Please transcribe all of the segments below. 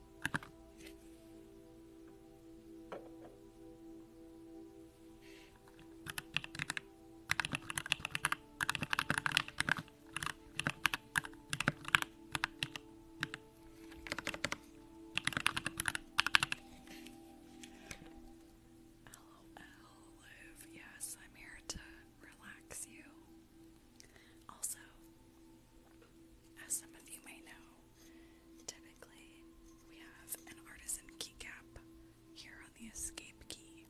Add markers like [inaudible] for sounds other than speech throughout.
LOL, Yes, I'm here to relax you. Also, as some of you may know, typically we have an artisan keycap here on the escape key.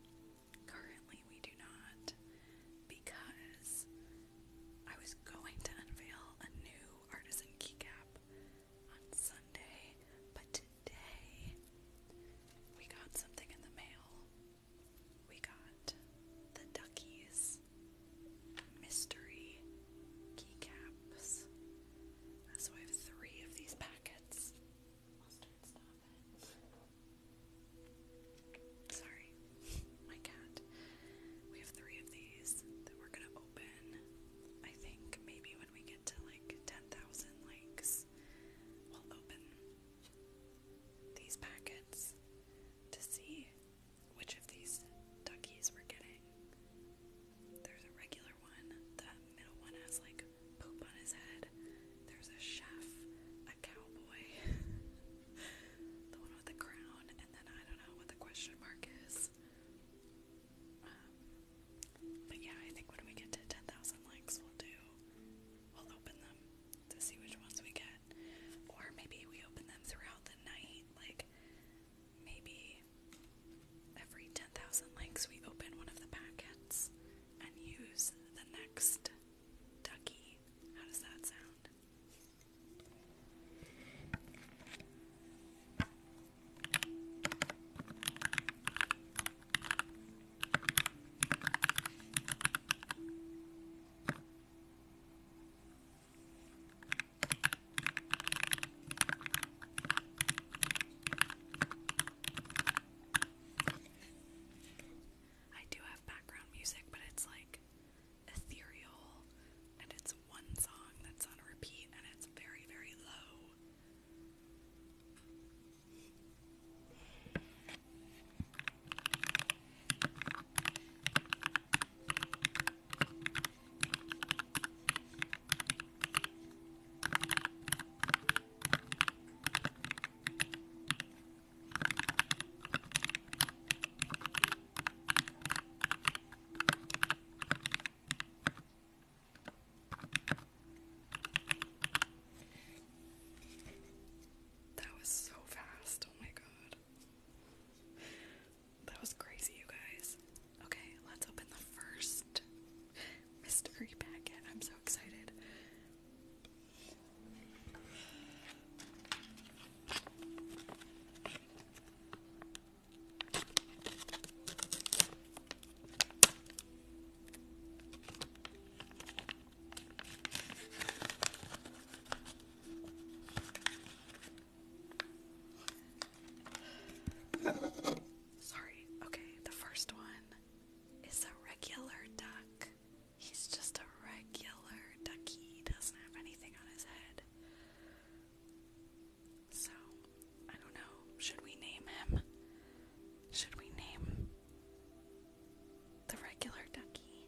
Currently we do not because I was going to unveil a new artisan keycap on Sunday, but today we got something in the mail. We got the duckies mystery keycaps. So I have three of these packets. Sorry, my cat. We have three of these that we're gonna open. I think maybe when we get to like 10,000 likes, we'll open these packets to see which of these duckies we're getting. There's a regular one, the middle one has like poop on his head. There's a chef, a cowboy, [laughs] the one with the crown, and then I don't know what the question mark is. Um, but yeah, I think when we get to 10,000 likes, we'll do, we'll open them to see which ones we get. Or maybe we open them throughout the night, like maybe every 10,000 likes we open one of the packets and use the next ducky. How does that sound? I do have background music, but it's like ethereal and it's one song that's on repeat and it's very, very low. That was so fast. Oh my god that was crazy, you guys. Okay, let's open the first mystery packet. I'm so excited. Sorry. Okay, the first one is a regular duck. He's just a regular ducky. He doesn't have anything on his head. So, I don't know. Should we name him? Should we name the regular ducky? [laughs]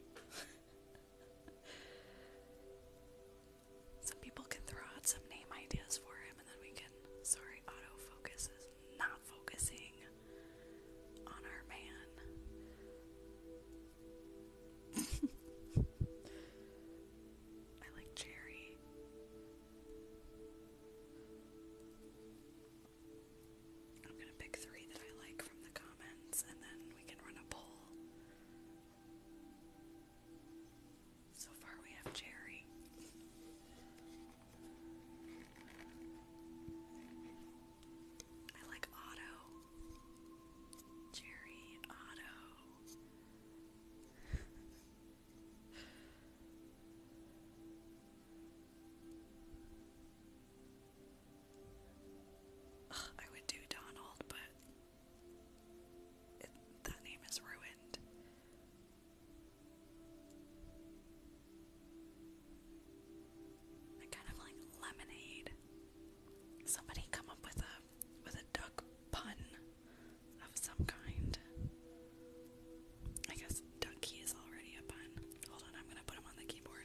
Some people can throw out some name ideas for him and then we can. Sorry, autofocus is not focusing on our man. [laughs] I like Jerry. I'm gonna pick three that I like from the comments and then we can run a poll. So far we have Jerry. I like Otto. Jerry, Otto. [laughs] I would do Donald, but that name is ruined. I kind of like lemonade. Somebody come up with a with a duck pun of some kind. I guess ducky is already a pun. Hold on, I'm gonna put him on the keyboard.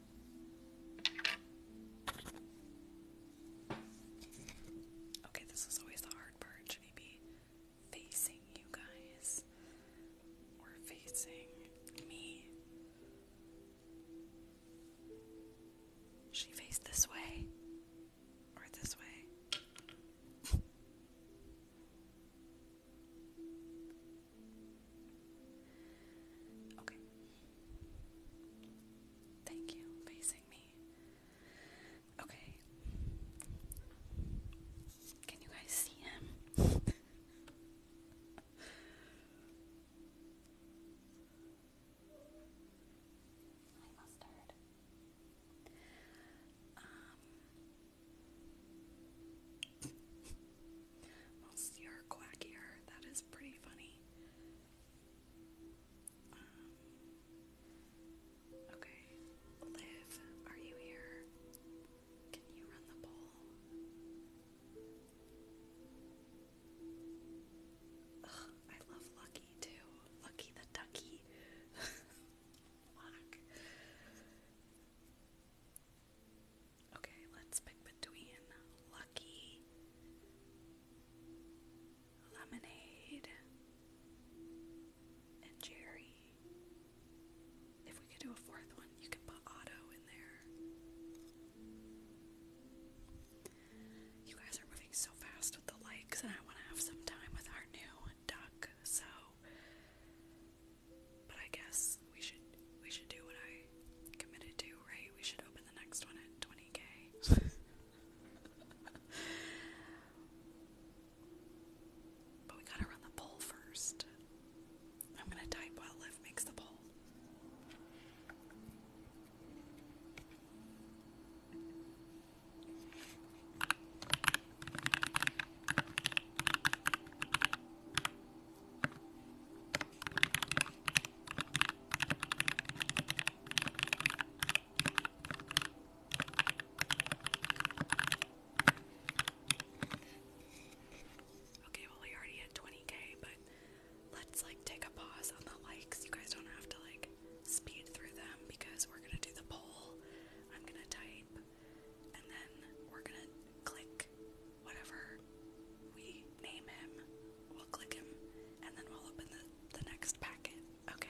Okay, this is always the hard part. Should we be facing you guys? Or facing me? Should he this way? Or this way? Okay. Thank you, facing me. Okay. Can you guys see him? [laughs] Mostly are quackier. That is pretty funny. Um, okay. Liv, are you here? Can you run the poll? I love Lucky too. Lucky the ducky. [laughs] Okay, let's pick between Lucky, Lemonade, and Jerry. If we could do a fourth one, you can put Otto in there. You guys are moving so fast with the likes, and I want to have some time with our new duck, so. But I guess we should we should do what I committed to, right? We should open the next one at 20k. [laughs] but we gotta run the poll first. I'm gonna type while Liv makes the poll. Okay, well, we already hit 20k, but let's like take a pause on the likes. You guys don't have to like speed through them because we're gonna do the poll. I'm gonna type and then we're gonna click whatever we name him, we'll click him, and then we'll open the, the next packet, okay?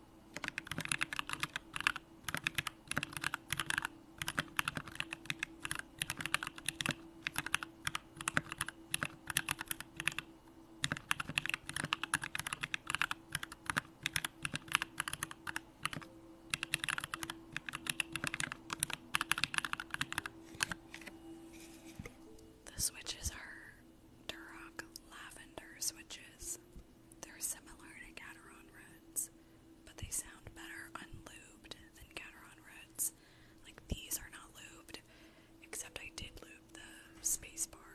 The switches are Duroc lavender switches. They're similar to Gateron Reds, but they sound better unlooped than Gateron Reds. Like these are not lubed, except I did lube the space bar,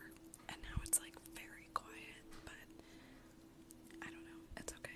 and now it's like very quiet, but I don't know, it's okay.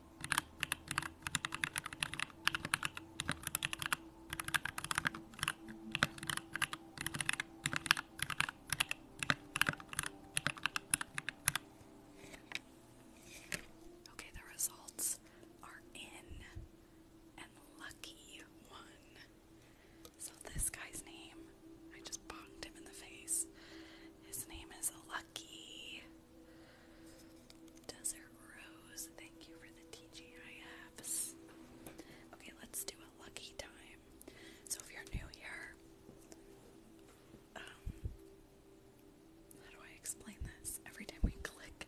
Okay, the results are in, and lucky one. So, this guy's name, I just bonked him in the face. His name is Lucky lucky. Desert Rose, thank you for the TGIFs. Okay, let's do a lucky time. So if you're new here, um, how do I explain this? Every time we click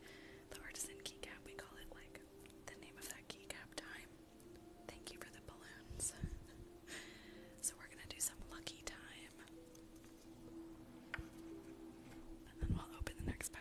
the artisan keycap, we call it like the name of that keycap time. Thank you for the balloons. [laughs] so we're gonna do some lucky time. And then we'll open the next packet.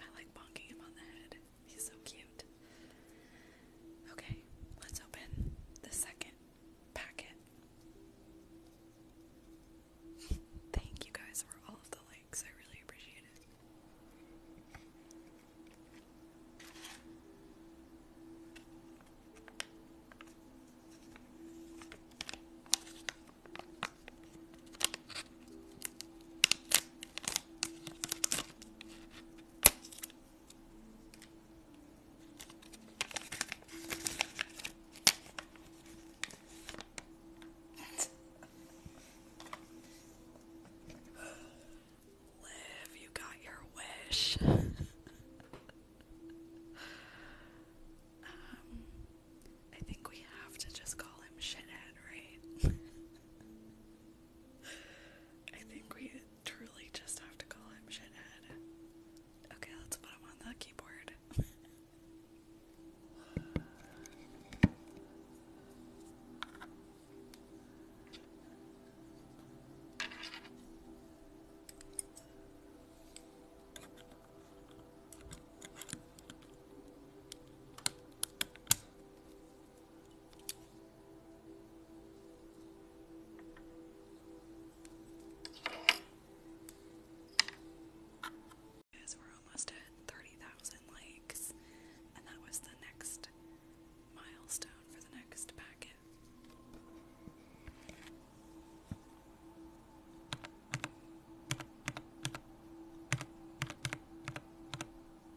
I like bonking him on the head. He's so cute. Okay, let's open the second packet. Thank you guys for all of the likes. I really appreciate it. Liv, you got your wish. [laughs] um, I think we have to just call him Shithead, right? [laughs] I think we truly just have to call him shithead. Okay, let's put him on the keyboard. Because we're almost at 30,000 likes, and that was the next milestone for the next packet.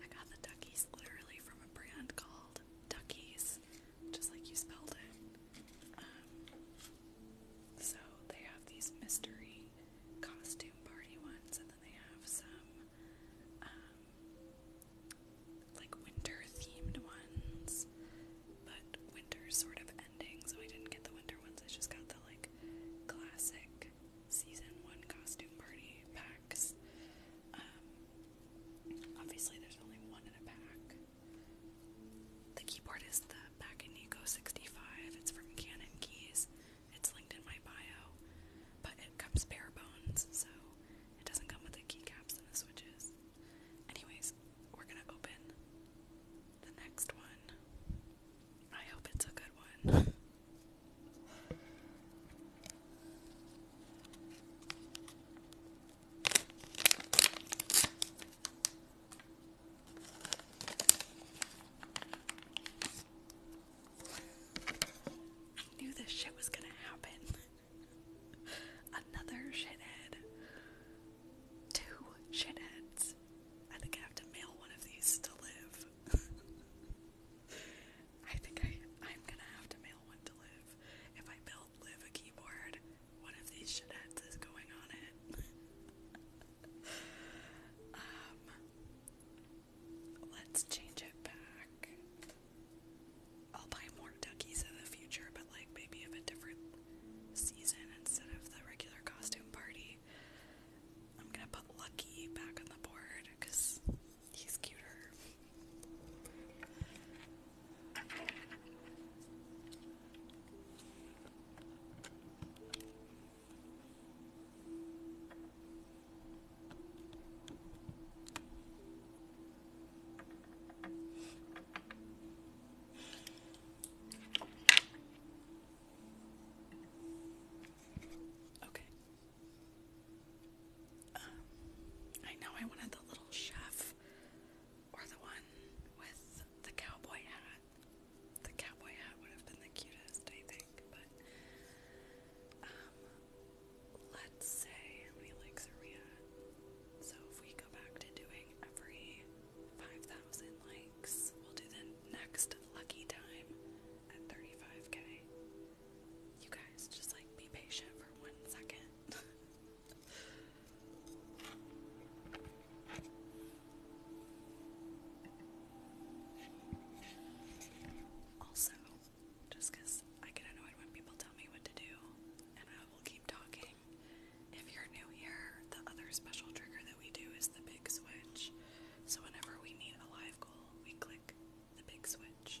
I got the duckies literally from a brand called Duckies, just like you spelled it. Um, so they have these mystery costume party ones, and then they have some um, like winter themed ones, but winter's sort of ending, so I didn't get the winter ones. I just got the like classic season one costume party packs. Um, obviously, there's only one in a pack. The keyboard is the Bakanico 65. It's from Canon Keys. It's linked in my bio, but it comes bare bones, so it doesn't come with the keycaps and the switches. Anyways, we're gonna open the next one. I hope it's a good one. [laughs] I knew this shit was gonna happen. [laughs] Another shithead. Two shitheads. I think I have to mail one of these to live. [laughs] I think I, I'm gonna have to mail one to Liv. If I build Liv a keyboard, one of these shitheads going on it. [laughs] um, let's change it back. I'll buy more duckies in the future, but like maybe of a different season instead of the regular costume party. I'm gonna put Lucky back on the board because He's cuter. Okay, I know I wanted the little chef or the one with the cowboy hat. The cowboy hat would have been the cutest, I think, but um, let's say how many likes are we at? So if we go back to doing every 5,000 likes, we'll do the next lucky time at 35k you guys just like be patient for one second. [laughs] also, just I get annoyed when people tell me what to do, and I will keep talking. If you're new here, the other special trigger that we do is the big switch. So, whenever we need a live goal, we click the big switch.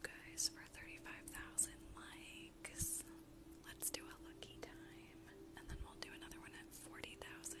guys for 35,000 likes. Let's do a lucky time, and then we'll do another one at 40,000.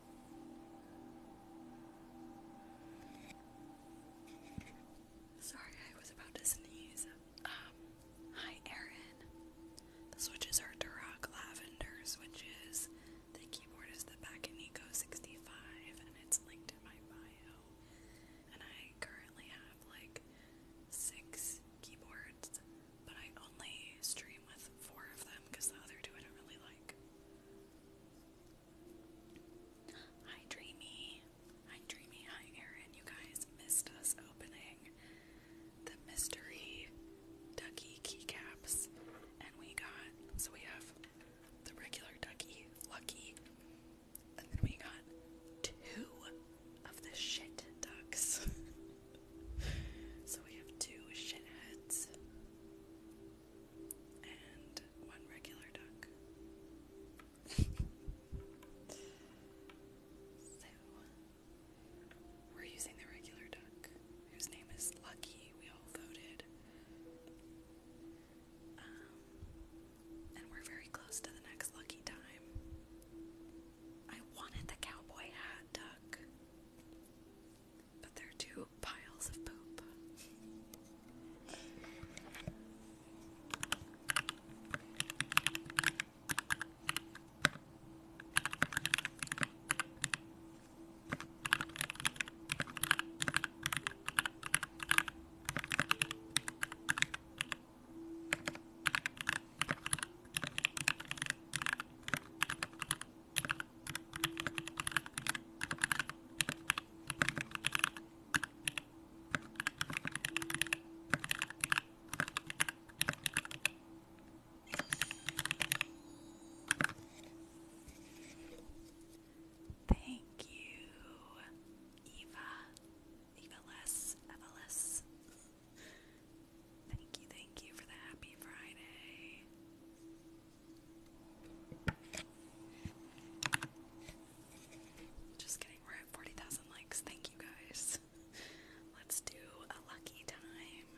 Sorry, I was about to sneeze. Um, hi, Erin. The switches are Duroc Lavender switches. The keyboard is the Bakanico 65, and it's linked in my bio. And I currently have like six keyboards, but I only stream with four of them because the other two I don't really like like. Hi, Dreamy. Hi, Dreamy. Hi, Aaron. You guys missed us opening the mystery ducky keycaps, and we got so we have the regular ducky, lucky, and then we got two of the shit ducks. [laughs] so we have two shit heads and one regular duck. [laughs] so, we're using the regular duck, whose name is Lucky. We all voted. Um, and we're very close to the next lucky time. I wanted the cowboy hat duck. But there are two piles of poop. Thank you, Eva. Eva Less, Thank you, thank you for the happy Friday. Just kidding, we're at 40,000 likes. Thank you guys. Let's do a lucky time.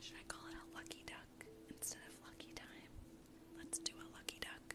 Should I call it a lucky duck instead of lucky time? Let's do a lucky duck.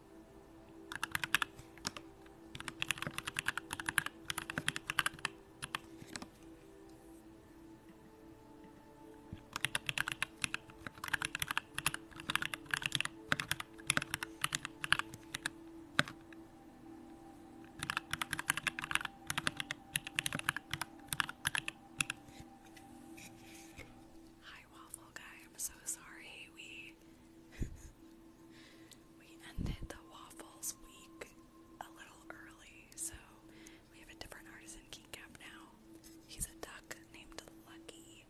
Hi, waffle guy. I'm so sorry. We we ended the waffles week a little early, so we have a different artisan keycap now. He's a duck named Lucky,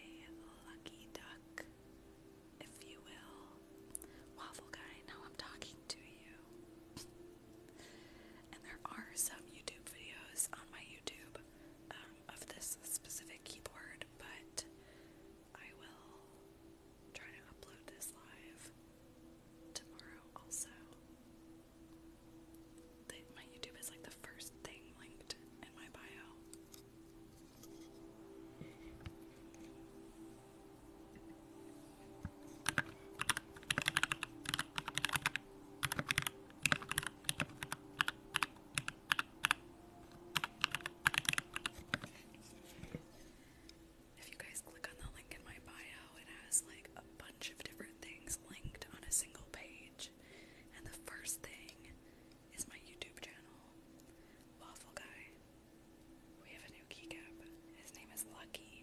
a lucky duck, if you will. Waffle guy, now I'm talking to you. and there are some YouTube videos on my YouTube um, of this specific keyboard, but I will try to upload this live tomorrow also. my YouTube is like the first thing linked in my bio. If you guys click on the link in my bio, it has like a bunch of different things linked on a single page. And the first thing is my YouTube channel, Waffle Guy. We have a new keycap. His name is Lucky.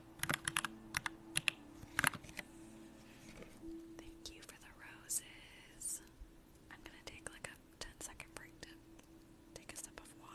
Thank you for the roses. I'm gonna take like a 10 second break to take a sip of water.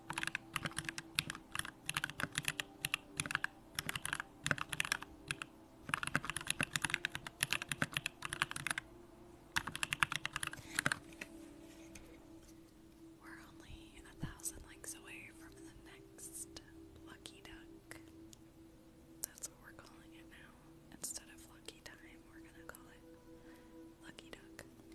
We're only a thousand likes away from the next Lucky Duck. That's what we're calling it now. Instead of Lucky Time, we're gonna call it Lucky duck. All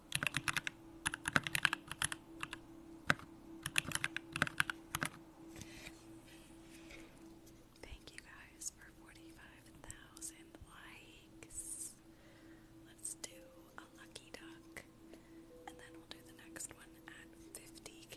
Thank you guys for 45,000 likes. Let's do a lucky duck, and then we'll do the next one at 50k.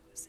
roses.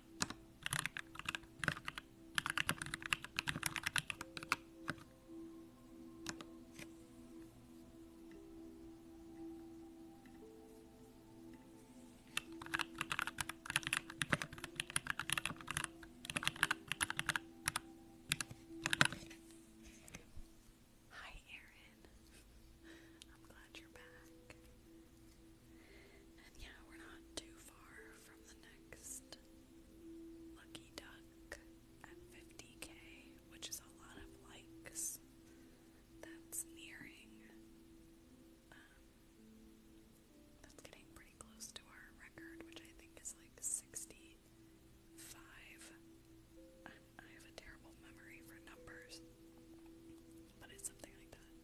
Hi, Erin. [laughs] I'm glad you're back yeah, we're not too far from the next lucky duck at 50k, which is a lot of likes. That's nearing. Um, that's getting pretty close to our record, which I think is like 65. I have a terrible memory for numbers, but it's something like that.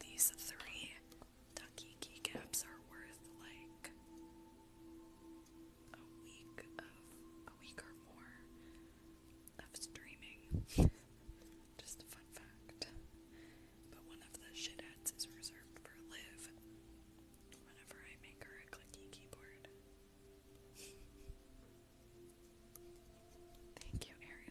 These three ducky keycaps are worth like a week of a week or more of streaming. [laughs] Just a fun fact. But one of the shitheads is reserved for live whenever I make her a clicky keyboard. Thank you, Aaron.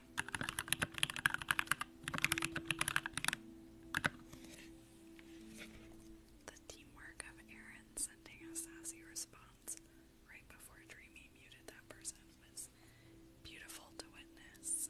The teamwork of Aaron sending a sassy response right before Dreamy muted that person was beautiful to witness.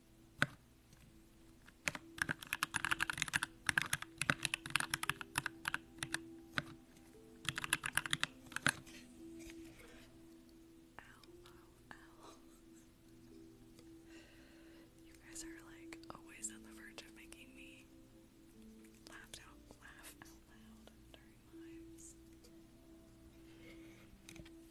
ow. You guys are like always on the verge of making me laugh out laugh out loud during lives.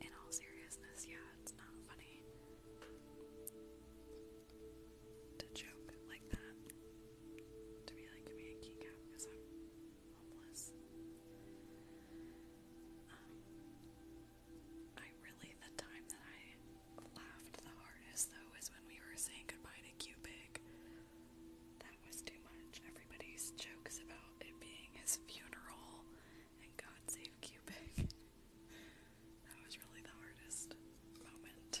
In all seriousness, yeah, it's not funny to joke like that. To be like, give me because I'm homeless. Um, I really, the time that I laughed the hardest though is when we were saying goodbye to Cubic. That was too much. Everybody's jokes about it being his funeral and God save Cubic. [laughs] That was really the hardest moment.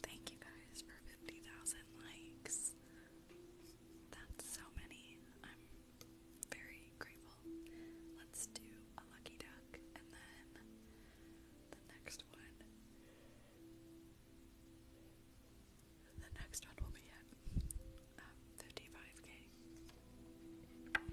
Thank you guys for 50,000 likes. That's so many. I'm very grateful. Let's do a lucky duck and then the next one. The next one will be at 55k. Um,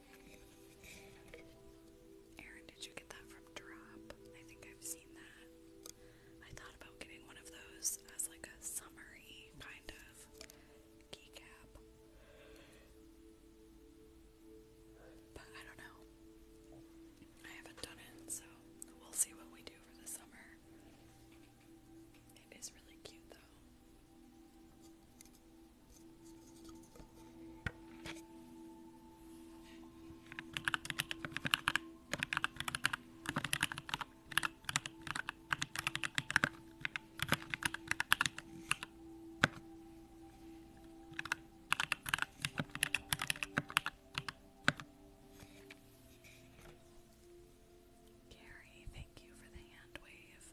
Aaron, did you get that from Drop? I think I've seen that. I thought about getting one of those as like a summery kind of keycap. But I don't know. I haven't done it, so we'll see what we do for the summer. It is really cute though. Gary, thank you for the hand wave.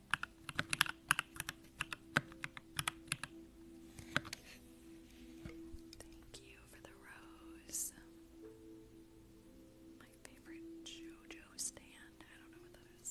Thank you for the rose. My favorite JoJo stand. I don't know what that is.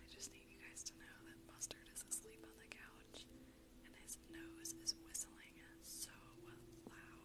I just need you guys to know that Mustard is asleep on the couch and his nose is whistling so loud.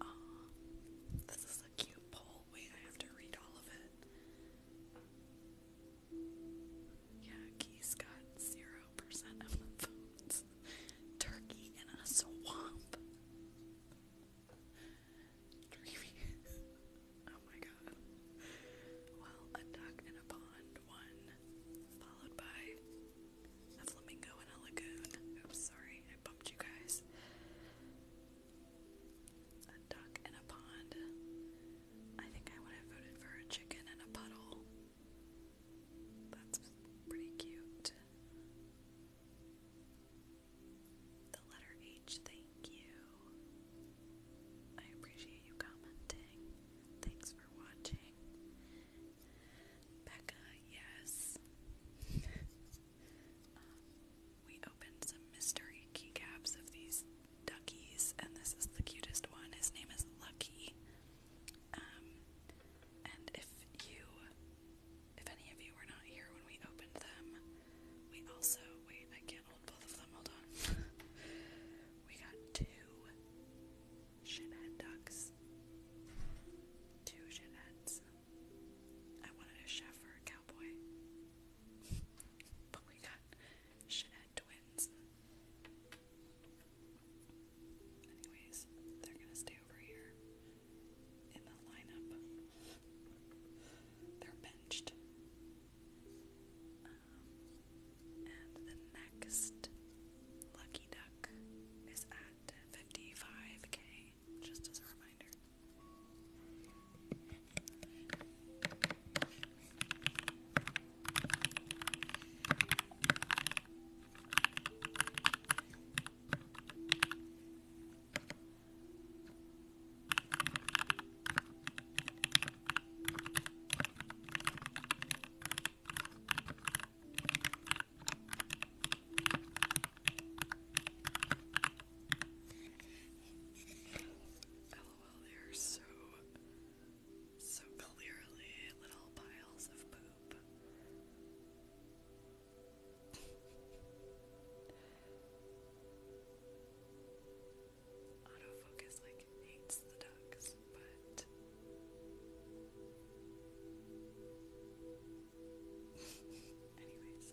Oh, this is a cute poll. Wait, I have to read all of it. Yeah, Geese got zero percent of the votes. Turkey in a swamp. Dreamy. [laughs] oh my god. Well, a duck in a pond won, followed by a flamingo in a lagoon. Oops, sorry, I bumped you guys. A duck in a pond. I think I would have voted for a chicken in a puddle. That's pretty cute. The letter H, thank you. I appreciate you commenting. Thanks for watching. Becca, yes. [laughs] Um, we opened some mystery keycaps of these duckies, and this is the cutest one. His name is Lucky. Um, and if you, if any of you were not here when we opened them, we also, wait, I can't hold both of them, hold on. [laughs] we got two shithead ducks. Two shitheads. I wanted a chef cowboy. [laughs] but we got shithead twins. Anyways, they're gonna stay over here in the lineup. They're benched. Um, and the next lucky duck is at 55k, just as a reminder. Oh, LOL, they are so so clearly, little piles of poop. Autofocus like hates the ducks, but [laughs] anyways.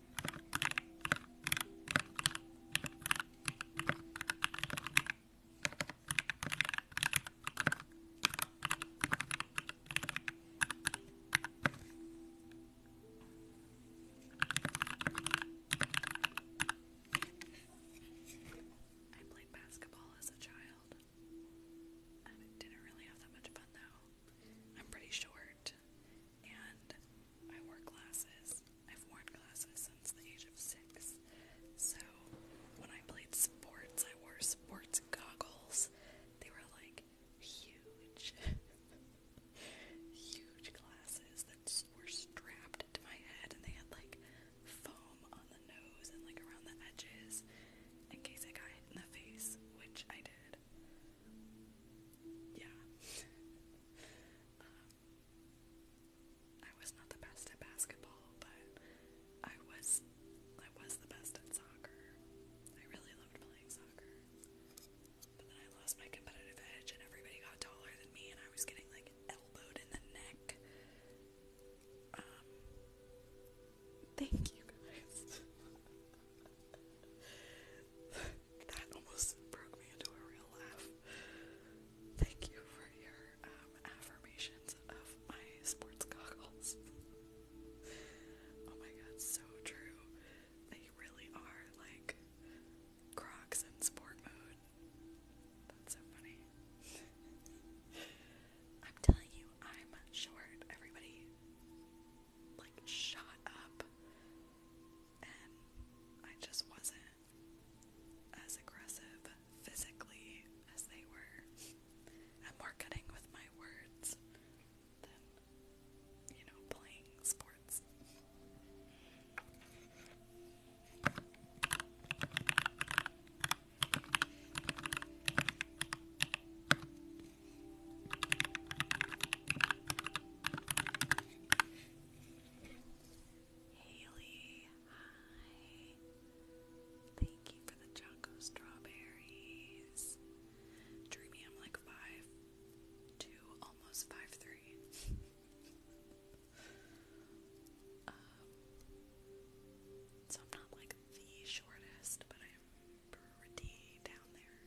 I played basketball as a child. didn't really have that much fun though. I'm pretty short and I wore glasses. I've worn glasses since the age of six. So when I played sports, I wore sports goggles. They were like huge, [laughs] huge glasses that were strapped to my head, and they had like foam on the nose and like around the edges in case I got hit in the face, which I did. Yeah. I was not the best at basketball, but I was I was the best at soccer. I really loved playing soccer. But then I lost my competitive edge and everybody got taller than me and I was getting like elbowed in the neck. Um, thank you guys. [laughs] that almost broke me into a real laugh. Thank you for your um, affirmations of my sports goggles. oh my god, so true. They really are like Crocs in sport mode. That's so funny. [laughs] I'm telling you, I'm short, everybody. Like, shut up and I just wasn't as aggressive physically as they were. i more cutting with my words than, you know, playing sports. Haley, hi. Thank you for the Jocko strawberries. Dreamy, I'm like five, two, almost five, three. [laughs] Um, so I'm not like the shortest, but I'm pretty down there.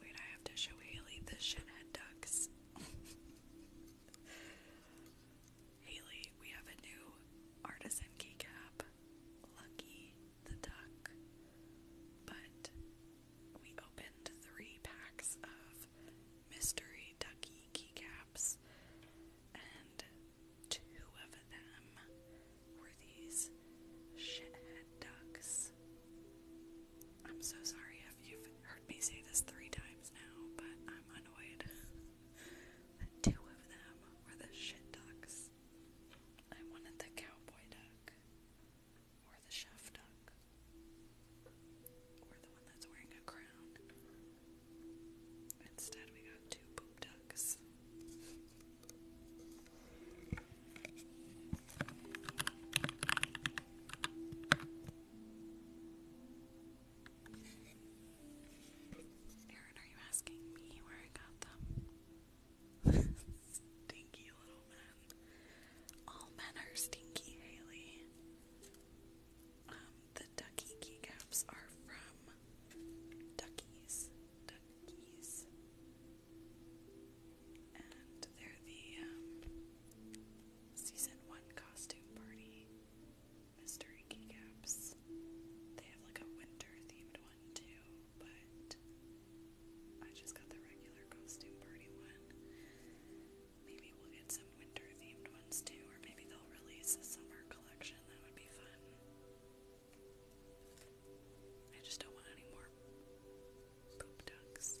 Wait, I have to show Haley the shithead ducks. [laughs] Haley, we have a new artisan keycap. Lucky the duck. But we opened three packs of mystery ducky keycaps, and two of them were these shithead ducks. I'm so sorry if you've heard me say this three times now, but I'm annoyed that two of them were the shit ducks. I wanted the cowboy duck, or the chef duck, or the one that's wearing a crown. Instead, we got two poop ducks. Aaron, are you asking me where I got them? [laughs] stinky little men. All men are stinky, Haley. Um, the ducky keycaps are from Duckies. Duckies they're the um, season one costume party mystery caps. They have like a winter themed one too, but I just got the regular costume party one. Maybe we'll get some winter themed ones too, or maybe they'll release a summer collection. That would be fun. I just don't want any more poop ducks.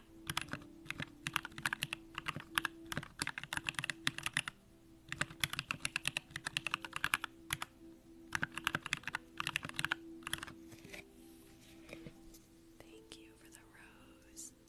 Thank you for the rose. Thank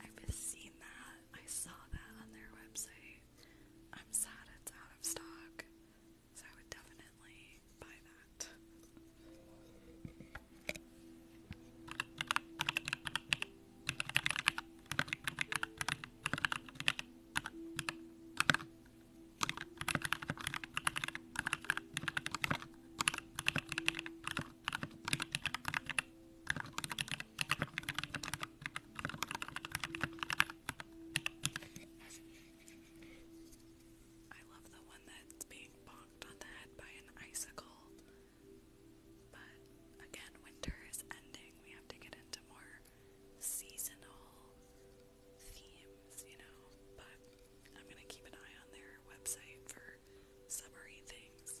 I've seen that. I saw that on their website. I'm sad it's out of stock, so I would definitely buy that. I love the one that's being bonked on the head by an icicle. But again, winter is ending. We have to get into more seasonal themes, you know, but I'm gonna keep an eye on their website for summery things.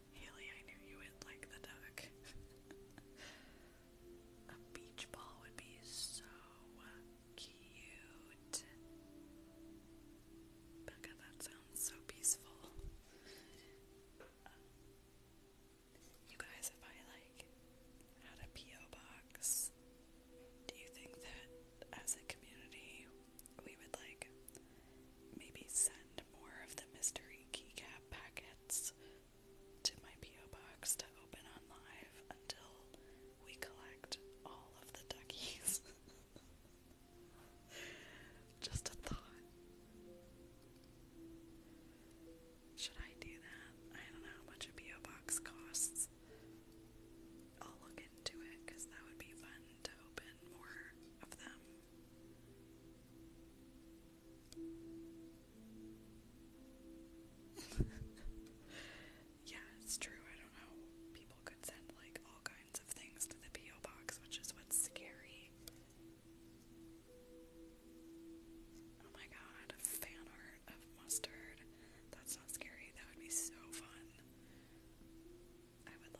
Haley, I knew you would like the duck. [laughs] A beach ball would be so cute. Becca, that sounds so peaceful. you guys, if I like had a P.O. box, do you think that as a community we would like maybe send more of the mystery keycap packets to my P.O. box to open on live until we collect all of the duckies. [laughs] Just a thought. Should I do that? I don't know how much a P.O. box costs. I'll look into it because that would be fun to open more of them. [laughs] yeah, it's true. I don't know. People could send like all kinds of things to the P.O. box, which is what's scary. Oh my god, fan art of mustard. That's not scary. That would be so fun. I would love that.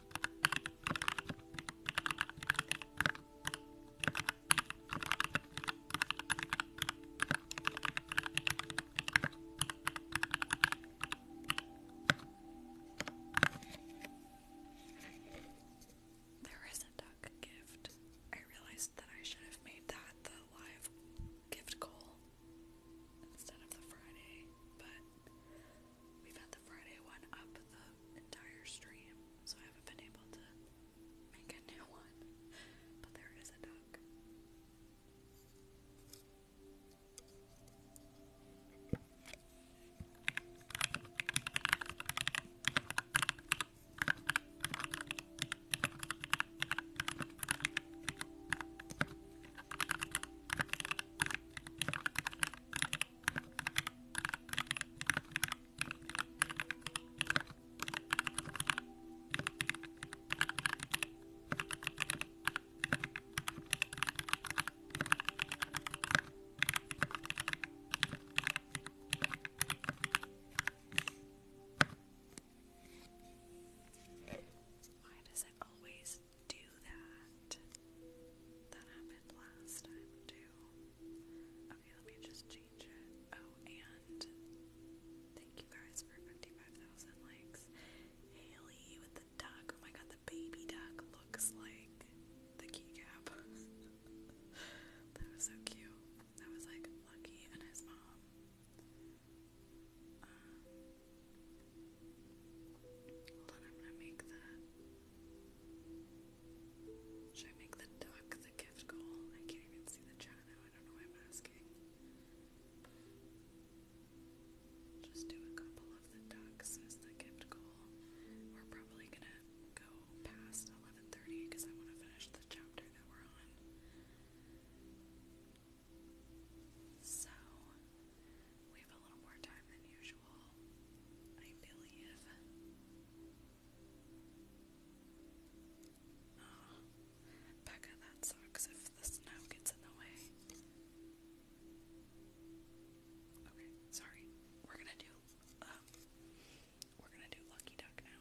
There is a gift. I realized that I should have made that the live gift goal instead of the Friday, but We've had the Friday one up the entire stream, so I haven't been able to make a new one. But there is a duck. Why does it always do that? That happened last time too. Okay, let me just change it. Oh, and thank you guys for 55,000 likes. Haley with the duck. Oh my god, the baby duck looks like the keycap. [laughs] that was so cute. That was like Lucky and his mom. Um, hold on, I'm gonna make that should I make the duck the gift goal? I can't even see the chat now. I don't know why I'm asking. Just do a couple of the ducks as the gift goal. We're probably gonna go past 11:30 because I want to finish the chapter that we're on. So we have a little more time than usual usual, I believe. Oh, Becca, that sucks if the snow gets in the way. Okay, sorry. We're gonna do, um, we're gonna do Lucky Duck now.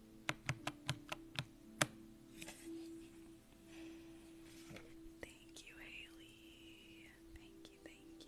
Thank you, Haley. Thank you, thank you.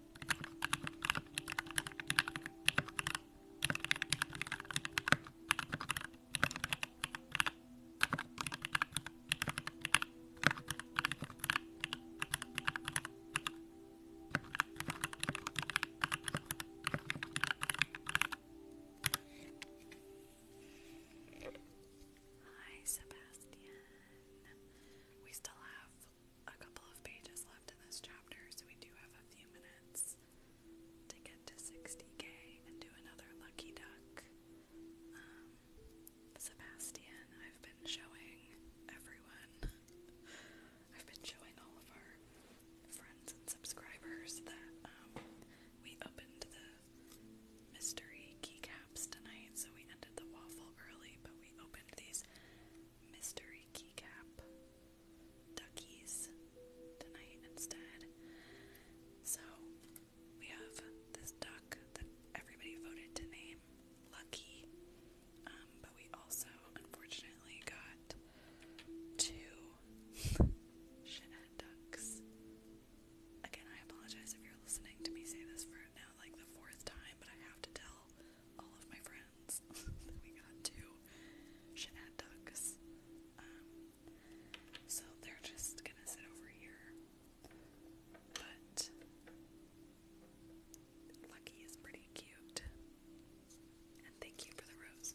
Hi, Sebastian. We still have a couple of pages left in this chapter, so we do have a few minutes to get to 60k and do another lucky duck. Um, Sebastian, I've been showing everyone, I've been showing all of our friends and subscribers that um, we opened the mystery keycaps tonight, so we ended the waffle early, but we opened these mystery keycap duckies tonight instead. So we have this duck that everybody voted to name Lucky, um, but we also unfortunately got two [laughs] shithead ducks. Again, I apologize if you're listening to me say this for now, like the fourth time, but I have to tell all of my friends [laughs] that we got to Shenanducks. Um, so they're just gonna sit over here. But Lucky is pretty cute. And thank you for the rose.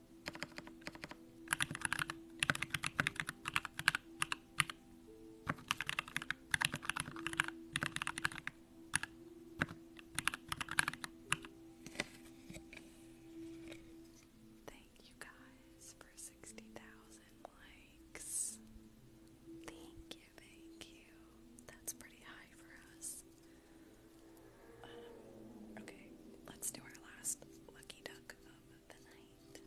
Thank you guys for 60,000 likes. Thank you, thank you. That's pretty high for us. Um, okay, let's do our last lucky duck book of the night.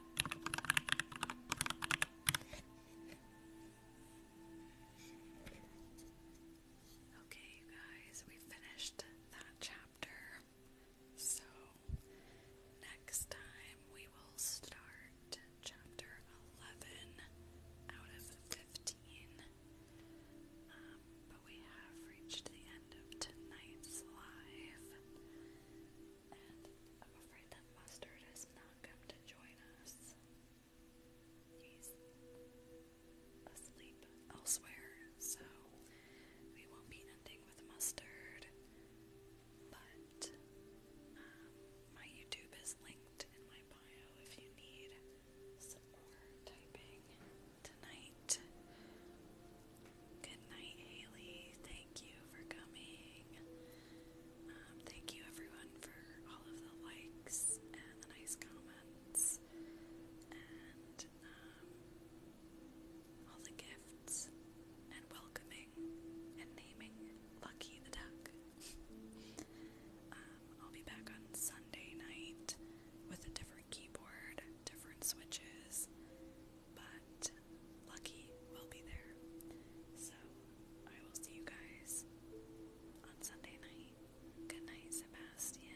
Okay, you guys, we finished that chapter. So, next time we will start chapter 11 out of 15. Um, but we have reached the end of tonight's live and I'm afraid that Mustard has not come to join us. He's asleep elsewhere, so we won't be ending with Mustard. But um, my YouTube is linked in my bio if you need some more typing tonight. Good night, Haley. Thank you for coming. Um, thank you, everyone, for all of the likes and the nice comments and um, all the gifts and welcoming and naming Lucky the Duck. [laughs] Um, I'll be back on Sunday night with a different keyboard, different switches, but Lucky will be there. So I will see you guys on Sunday night. Good night, Sebastian.